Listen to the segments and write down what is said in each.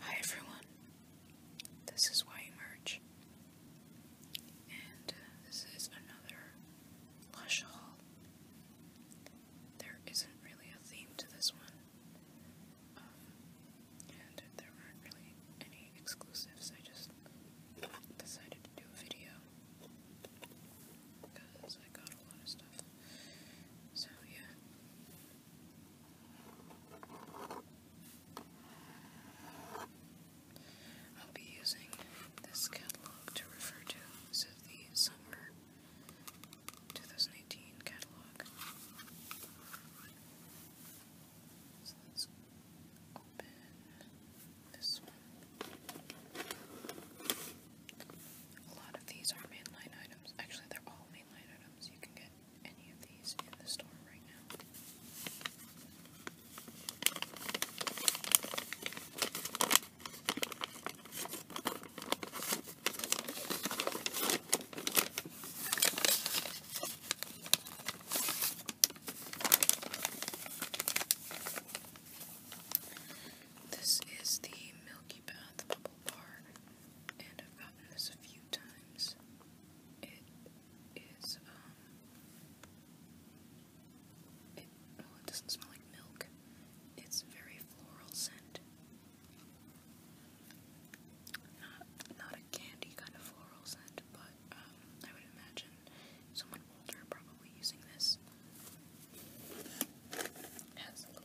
Hi everyone, this is Why Merge, and uh, this is another Lush haul. There isn't really a theme to this one, um, and there aren't really any exclusives. I just decided to do a video because I got a lot of stuff. So yeah. I'll be using this catalog to refer to the summer 2018 catalog. So let's open this one. A lot of these are mainline items. Actually, they're all mainline items. You can get any of these in the store right now. this is the Milky Bath bubble bar, and I've gotten this a few times. It is, um, it, oh, it doesn't smell like milk. It's very floral scent. Not, not a candy kind of floral scent, but um, I would imagine someone older probably using this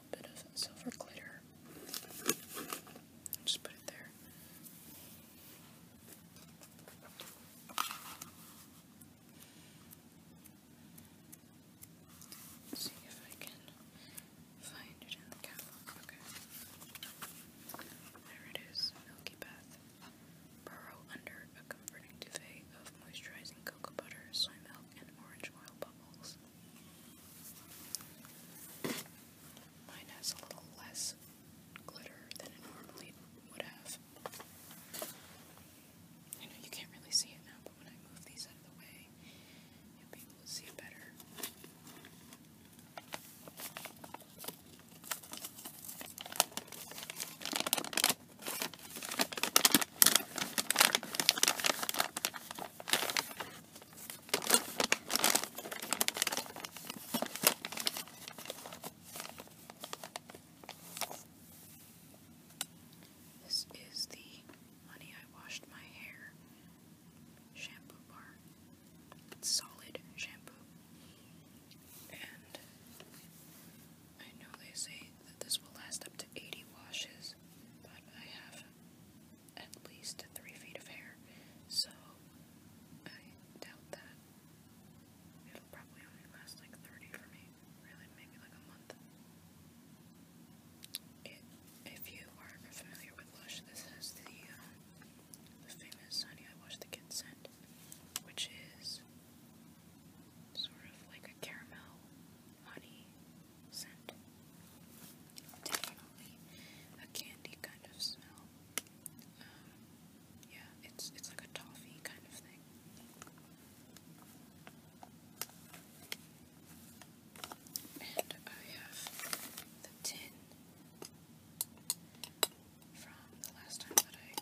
bit of silver glitter. Just put it there. see if I can find it in the catalog. Okay. There it is. Milky Bath. Burrow under a comforting duvet of moisturizing cocoa butter, soy milk, and orange oil novels. Mine has a little less glitter than it normally would have. You know, you can't really see it now, but when I move these out of the way, you'll be able to see it better. This is the Honey I Washed My Hair shampoo bar. solid shampoo. And I know they say that this will last up to 80 washes, but I have at least 3 feet of hair, so I doubt that. It'll probably only last like 30 for me, really, maybe like a month. if you are familiar with Lush, this has the, um, famous Honey I Wash the Kids scent, which is sort of like a caramel honey scent. Definitely a candy kind of smell. Um, yeah, it's it's like a toffee kind of thing. And I have the tin from the last time that I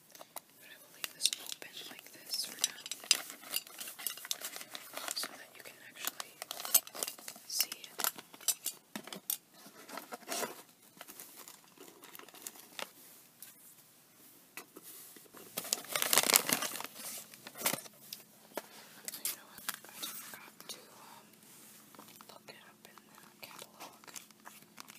But I will leave this open like this so that you can actually see it. You know I forgot to um, look it up in the catalog.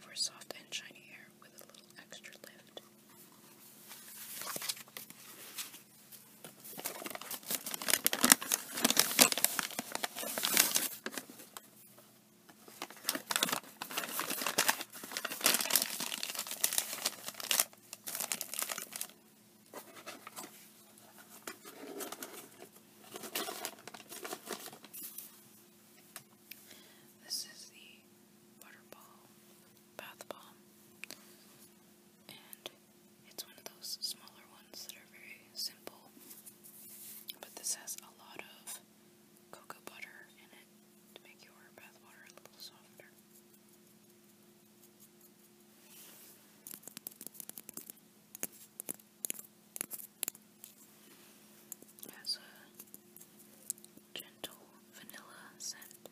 for soft and shiny hair with a little extra lift. This is the Butterball Bath Bomb, and it's one of those smaller ones that are very simple, but this has a lot of cocoa butter in it to make your bath water a little softer. It has a gentle vanilla scent.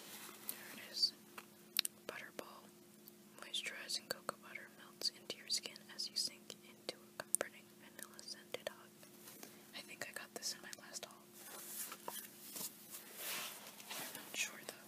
There it is. Butterball. Moisturizing cocoa butter melts into your skin as you sink into a comforting vanilla scented hug. I think I got this in my last haul. I'm not sure though.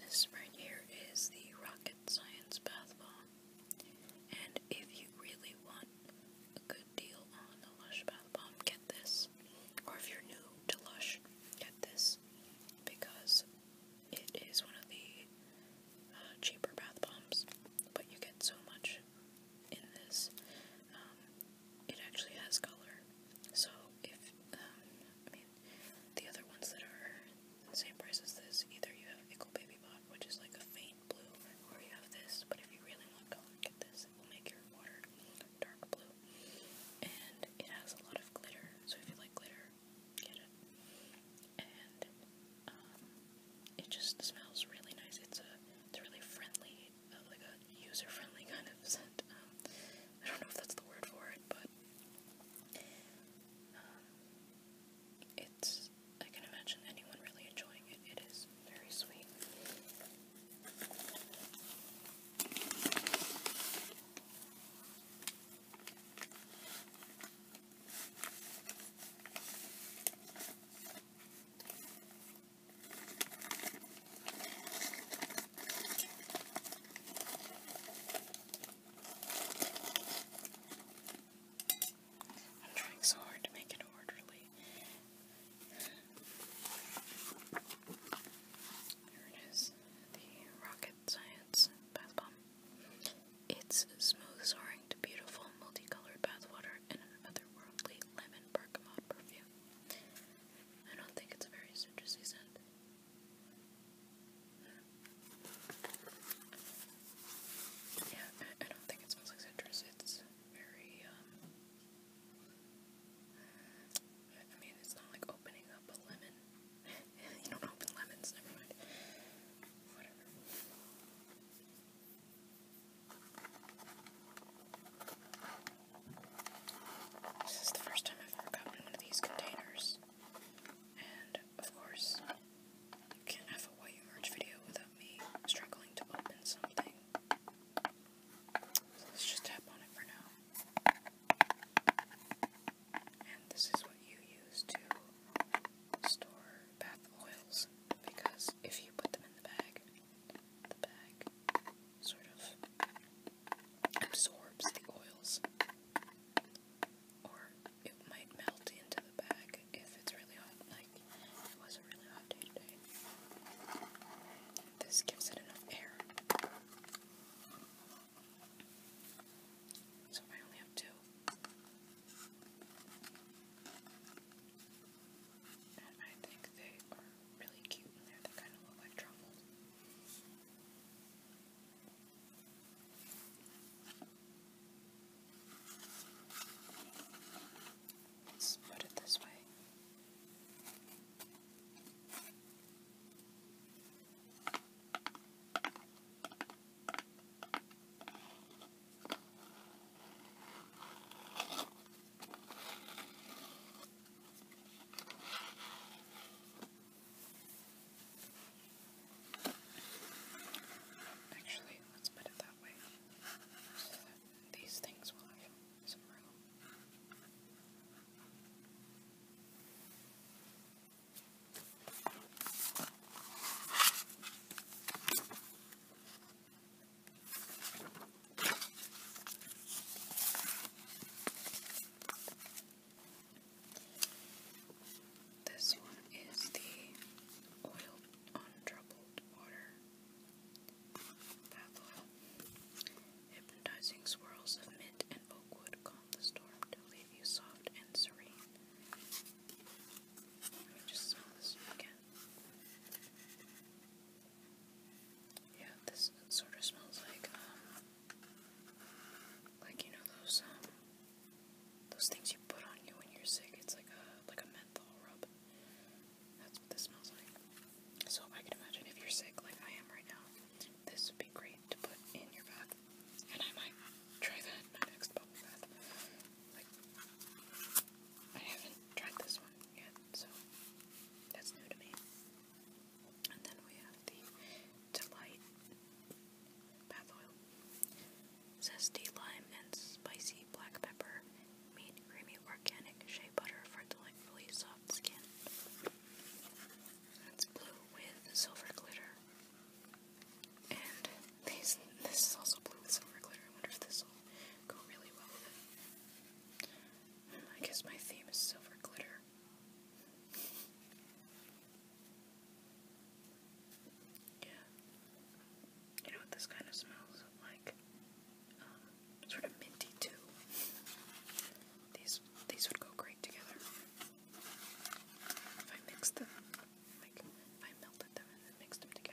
This right here is the rocket science bath bomb. And if you really want a good deal on the Lush bath bomb, get this. Or if you're new to Lush, get this because it is one of the uh, cheaper bath bombs, but you get so much in this. Um, it actually has color, so if um, I mean the other ones that are the same price as this, either you have Ickle Baby Bot, which is like a faint blue, or you have this. But if you really want color, get this. It will make your water dark blue, and it has a lot of glitter. So if you like glitter, um, it. just smells really nice. It's a it's really friendly, uh, like a user-friendly kind of scent. Um, I don't know if that's the word for it, but um, it's. I can imagine anyone really enjoying it. It is very sweet. I'm trying so hard to make it orderly. Here it is the rocket science bath bomb. It's smooth soaring to beautiful multicolored bathwater and an otherworldly lemon bergamot perfume. I don't think it's a very citrusy scent. Yeah, I, don't think it smells like citrus. It's very, um, I mean, it's not like opening up a lemon. you don't open lemons, never mind. Whatever. This is the first time I've ever gotten one of these containers. And, of course, you can't have a YU merch video without me struggling to open something. So let's just tap on it for now. And this is what you use to store bath oils because if you put them in the bag, the bag sort of absorbs the oils. Or it might melt into the bag if it's really hot, like it was a really hot day This gives it enough air so I only have two. And I think they are really cute in They kind of look like truffles. Let's put it this way. Actually, let's put it that way. So that these things will this one is the oil on troubled water Bathoil. Hypnotizing swirls of mint and oakwood calm the storm to leave you soft and serene. Let me just smell this again. Yeah, this sort of smells like, um, like you know those, um, those things you put on you when you're sick. It's like a, like a menthol rub. That's what this smells like. So I can imagine if you're sick like I am right now, this would be great to put in your bath. And I might try that next bubble bath. Like, I haven't tried this one yet, so that's new to me. And then we have the Delight Bath Oil. Zesty Lime and Spicy black pepper, meat, creamy organic shea butter for delightfully soft skin. It's blue with silver glitter. And these, this is also blue with silver glitter. I wonder if this will go really well with it. Hmm, I guess my theme is silver glitter. Yeah. You know what this kind of smells like? Um, sort of minty too. These these would go great together. If I mixed them, like if I melted them and then mixed them together.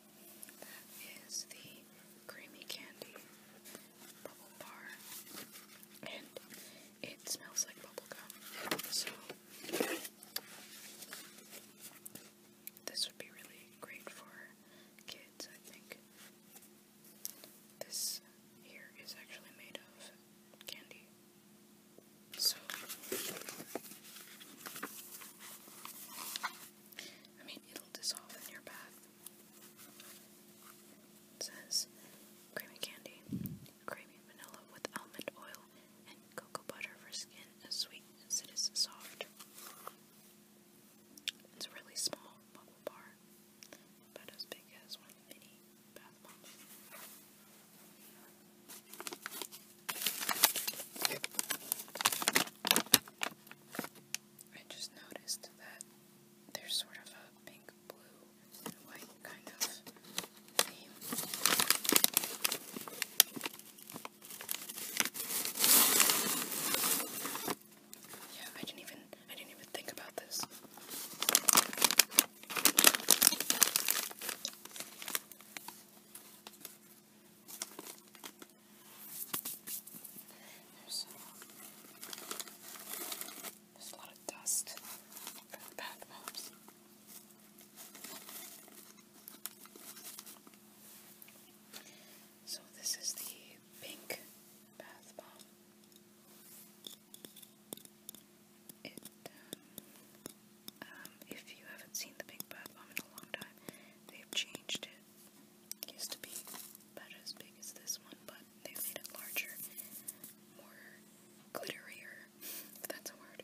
That is the creamy candy bubble bar, and it smells like bubblegum. So, this would be really great for kids, I think. This here is actually made of candy. So, I mean, it'll dissolve in your bath. It says creamy candy, creamy vanilla with almond oil, and cocoa butter for skin as sweet as it is soft. It's a really small bubble bar, about as big as one mini bath bombs. I just noticed that there's sort of a pink, blue, white kind of theme. Yeah, I didn't even I didn't even think about this. Uh, there's, a lot of dust from the bath mobs. So this is the pink bath bomb. It, um, um, if you haven't seen the pink bath bomb in a long time, they've changed it. It used to be about as big as this one, but they made it larger, more glitterier, that's a word,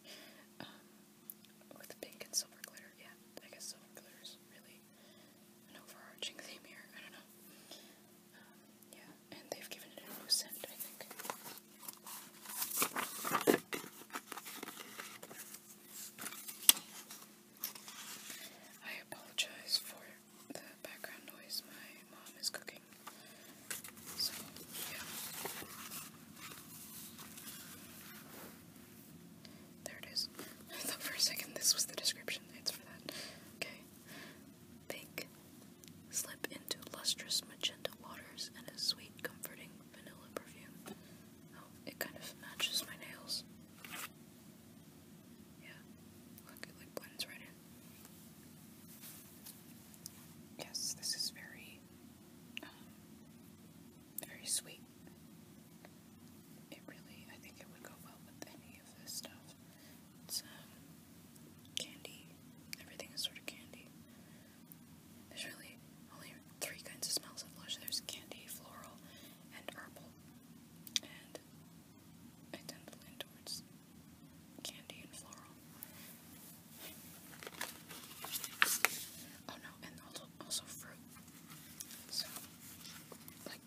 um, with pink and silver glitter. Yeah, I guess silver glitter is really an overarching theme here. I don't know. Um, yeah, and they've given it a new scent, I think. I apologize for the background noise. My mom is cooking. So, yeah. There it is. for a second this was the description. It's for that. Okay. Pink. Slip into lustrous magenta waters and a sweet, comforting vanilla perfume it kind of matches my nails. Yeah. Look, it like blends right in. Yes, this is very, um, very sweet. It really, I think it would go well with any of this stuff. It's, um, candy. Everything is sort of candy. There's really only three kinds of smells of Lush. There's candy, floral, and herbal. And I tend to lean towards candy and floral. Oh no, and also, also fruit. So, like,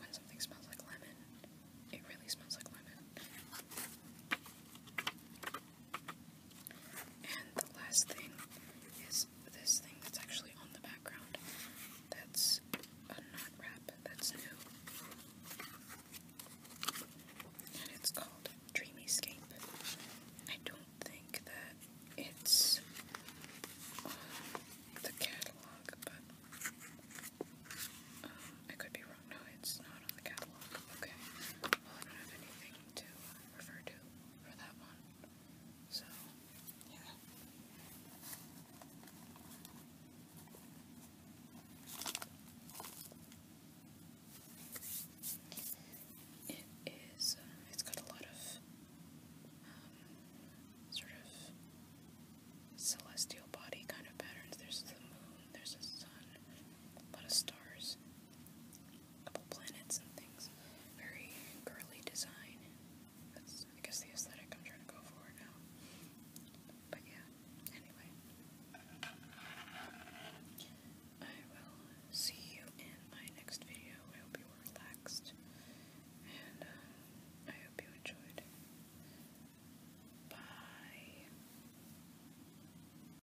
when something smells like lemon, it really smells like lemon. And the last thing is this thing that's actually on the background. That's a knot wrap that's new. And it's called Escape. I don't think that it's on the catalog, but um, I could be wrong. No, it's not on the catalog. Okay. Well, I don't have anything to refer to for that one. So, yeah. It is, um, its it has got a lot of um, sort of celestial body kind of patterns. There's the moon, there's the sun, a lot of stars, couple planets and things. Very girly design. That's, I guess, the aesthetic I'm trying to go for now. But yeah, anyway. I will see you in my next video. I hope you were relaxed. And uh, I hope you enjoyed. Bye.